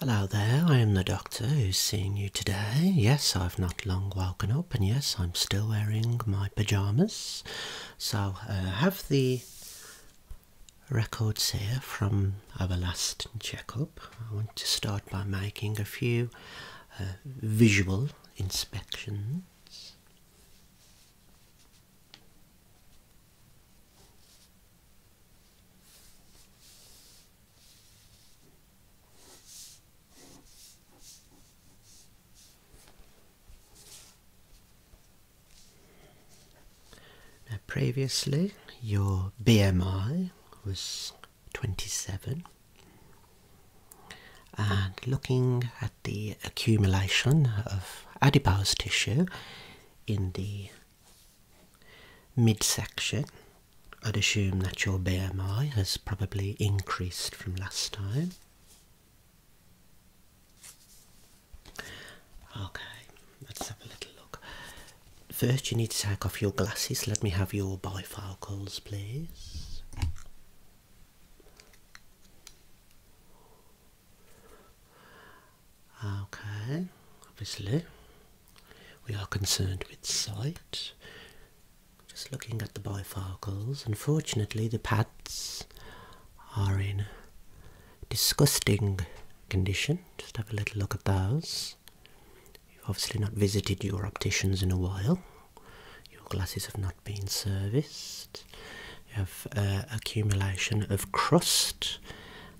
Hello there, I am the doctor who's seeing you today. Yes, I've not long woken up, and yes, I'm still wearing my pyjamas. So, I uh, have the records here from our last checkup. I want to start by making a few uh, visual inspections. Now, previously, your BMI was 27, and looking at the accumulation of adipose tissue in the midsection, I'd assume that your BMI has probably increased from last time. Okay, let's have a little look. First, you need to take off your glasses. Let me have your bifocals, please. Okay, obviously, we are concerned with sight. Just looking at the bifocals, unfortunately, the pads are in disgusting condition. Just have a little look at those. You've obviously not visited your opticians in a while. Your glasses have not been serviced. You have uh, accumulation of crust,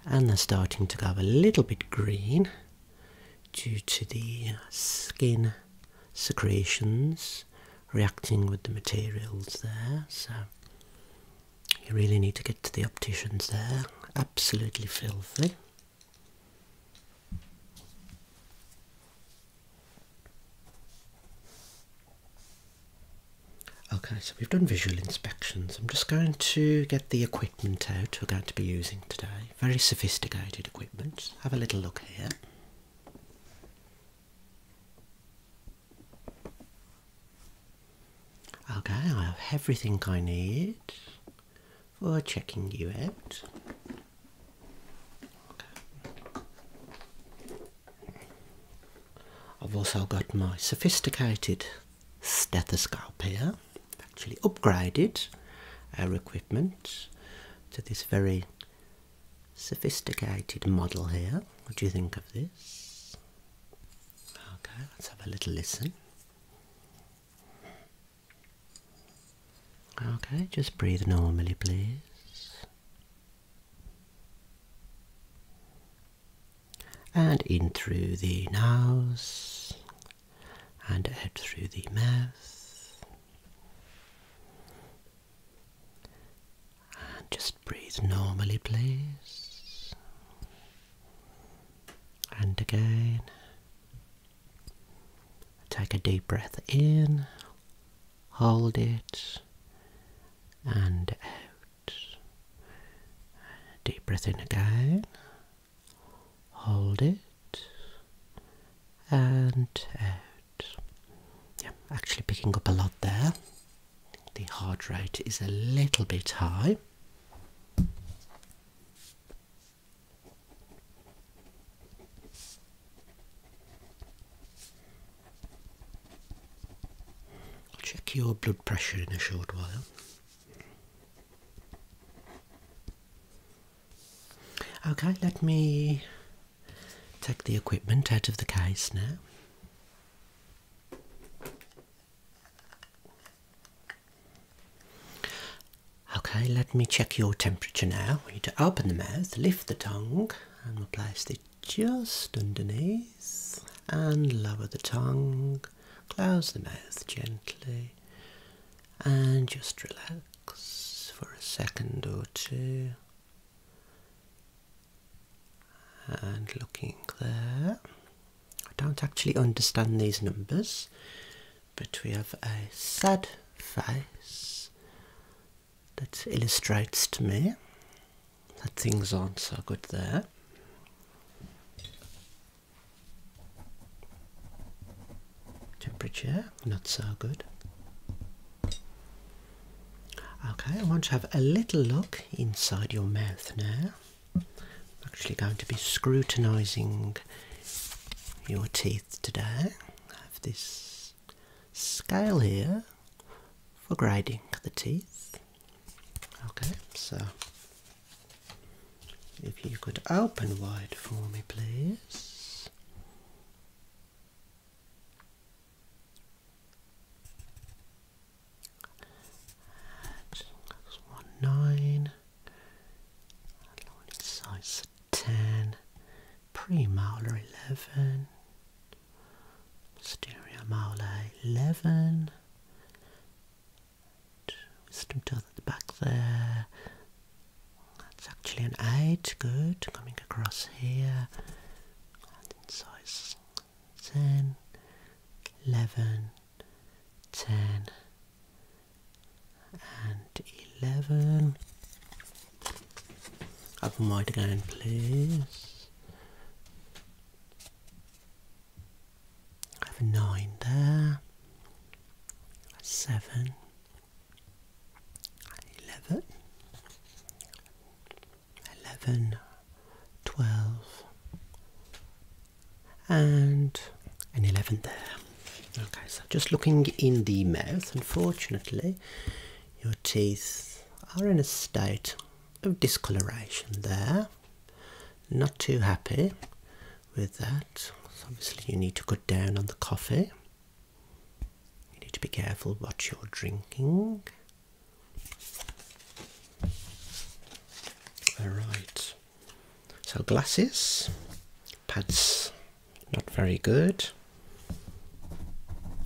and they're starting to go a little bit green due to the skin secretions reacting with the materials there. So you really need to get to the opticians there. Absolutely filthy. Okay, so we've done visual inspections. I'm just going to get the equipment out we're going to be using today. Very sophisticated equipment. Have a little look here. Okay, I have everything I need for checking you out. I've also got my sophisticated stethoscope here, actually upgraded our equipment to this very sophisticated model here. What do you think of this? Okay, let's have a little listen. Okay, just breathe normally, please and in through the nose and out through the mouth. And just breathe normally, please. And again, take a deep breath in hold it and out. Deep breath in again, hold it and out. Yeah, actually picking up a lot there. The heart rate is a little bit high. I'll check your blood pressure in a short while. Okay, let me take the equipment out of the case now. Okay, let me check your temperature now. We need to open the mouth, lift the tongue, and replace will the just underneath and lower the tongue, close the mouth gently, and just relax for a second or two. And looking there, I don't actually understand these numbers, but we have a sad face that illustrates to me that things aren't so good there. Temperature, not so good. Okay, I want to have a little look inside your mouth now. I'm actually going to be scrutinising your teeth today. I have this scale here for grading the teeth. Okay, so if you could open wide for me, please. one nine. Along its sides 10, Premaular 11, Posterior Maular 11, wisdom tooth at the back there. That's actually an 8, good, coming across here. And in size 10, 11, 10, and 11. Open wide again, please. I have a 9 there, 7, 11, 11, 12, and an 11 there. Okay, so just looking in the mouth, unfortunately, your teeth are in a state of discoloration there. Not too happy with that. So obviously, you need to cut down on the coffee. You need to be careful what you're drinking. All right. So glasses, pads not very good.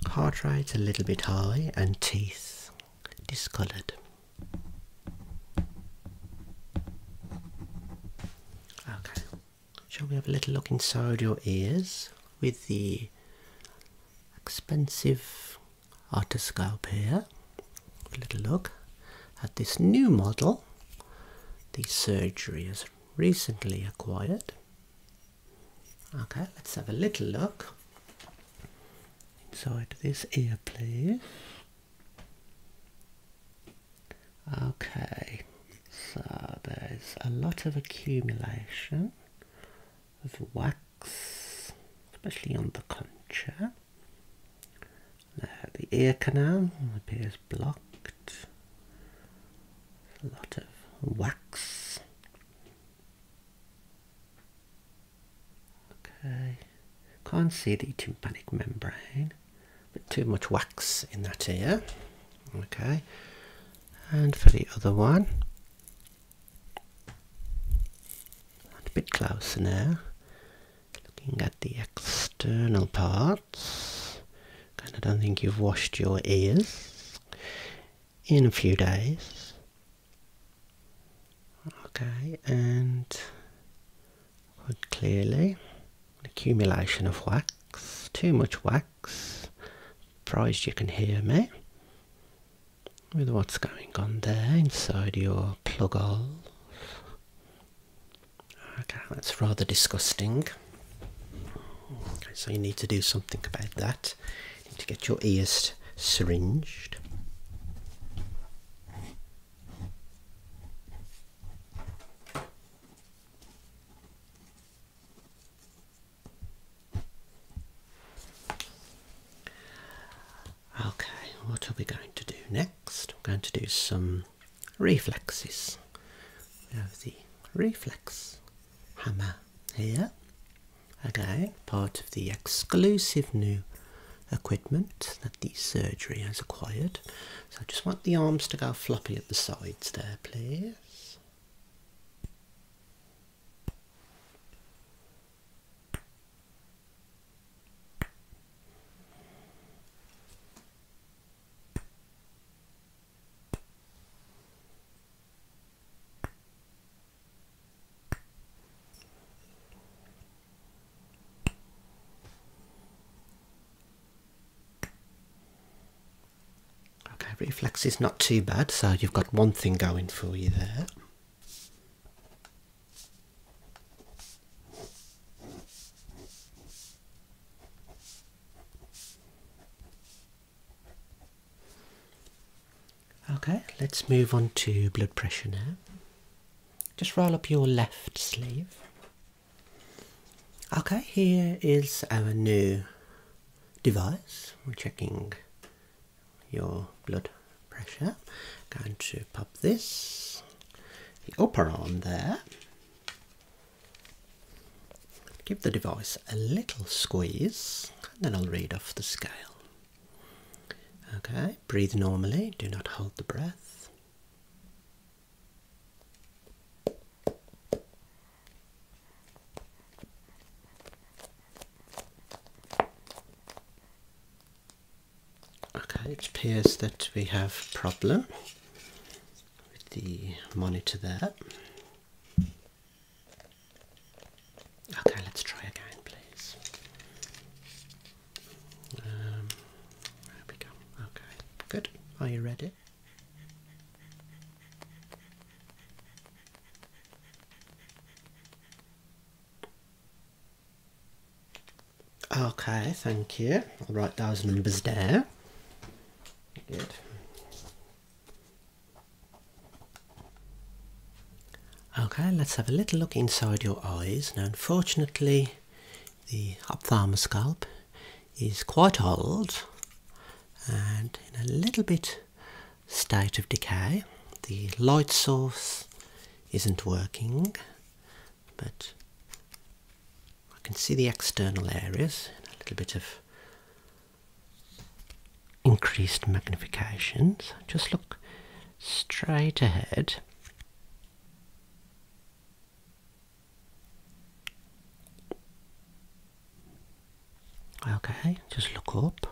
Heart rate's a little bit high and teeth discoloured. Okay, shall we have a little look inside your ears with the expensive otoscope here? A little look at this new model the surgery is recently acquired. Okay, let's have a little look inside this ear, please. Okay, so there's a lot of accumulation of wax, especially on the concha. Uh, the ear canal appears blocked. A lot of wax. Okay, can't see the tympanic membrane, but too much wax in that ear. Okay, and for the other one, a bit closer now. Looking at the external parts, I don't think you've washed your ears in a few days. Okay, and quite clearly accumulation of wax, too much wax. Surprised you can hear me with what's going on there inside your plug holes. Okay, that's rather disgusting. so you need to do something about that. You need to get your ears syringed. Okay, what are we going to do next? We're going to do some reflexes. We have the reflex hammer here. Again, part of the exclusive new equipment that the surgery has acquired. So I just want the arms to go floppy at the sides there, please. Okay, reflex is not too bad, so you've got one thing going for you there. Okay, let's move on to blood pressure now. Just roll up your left sleeve. Okay, here is our new device. We're checking your blood pressure. Going to pop this, the upper arm there. Give the device a little squeeze, and then I'll read off the scale. Okay, breathe normally, do not hold the breath. Okay, it appears that we have problem with the monitor there. Okay, let's try again, please. Um, there we go. Okay, good. Are you ready? Okay, thank you. I'll write those numbers there. Good. Okay, let's have a little look inside your eyes. Now, unfortunately, the ophthalmoscope is quite old and in a little bit state of decay. The light source isn't working, but I can see the external areas and a little bit of increased magnification. just look straight ahead. Okay, just look up.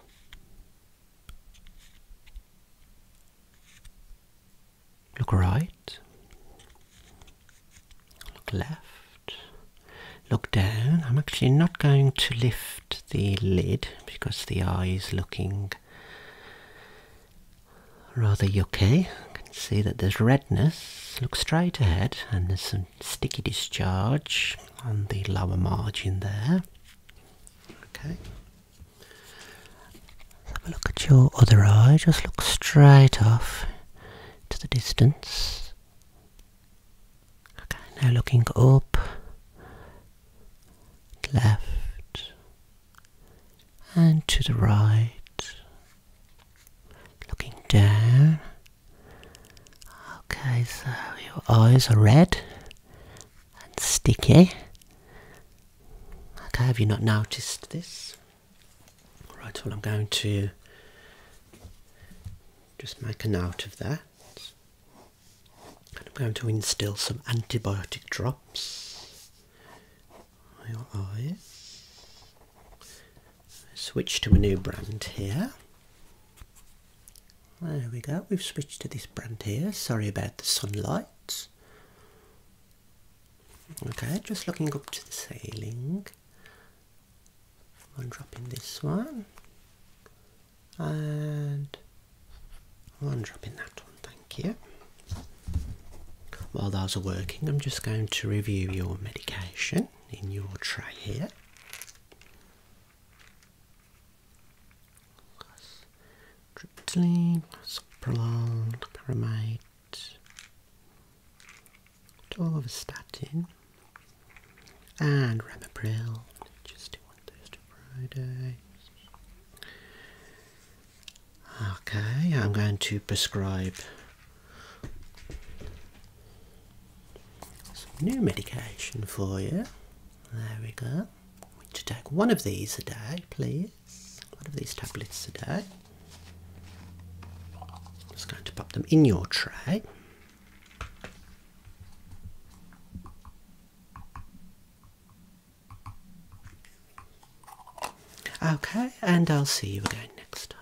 Look right. Look left. Look down. I'm actually not going to lift the lid because the eye is looking rather yucky. I can see that there's redness. Look straight ahead and there's some sticky discharge on the lower margin there. Okay. Let's have a look at your other eye. Just look straight off to the distance. Okay, now looking up, left, and to the right. Looking down Okay, so your eyes are red and sticky. Okay, have you not noticed this? Right, well, I'm going to just make a note of that. And I'm going to instill some antibiotic drops on your eyes. Switch to a new brand here. There we go, we've switched to this brand here. Sorry about the sunlight. Okay, just looking up to the ceiling. One drop in this one. And one drop in that one, thank you. While those are working, I'm just going to review your medication in your tray here plus triptyline, plus prolonged pyrimate, 12 and ramipril, just do one Thursday, Friday. Okay, I'm going to prescribe some new medication for you. There we go. We need to take one of these a day, please. One of these tablets a day. just going to pop them in your tray. Okay, and I'll see you again next time.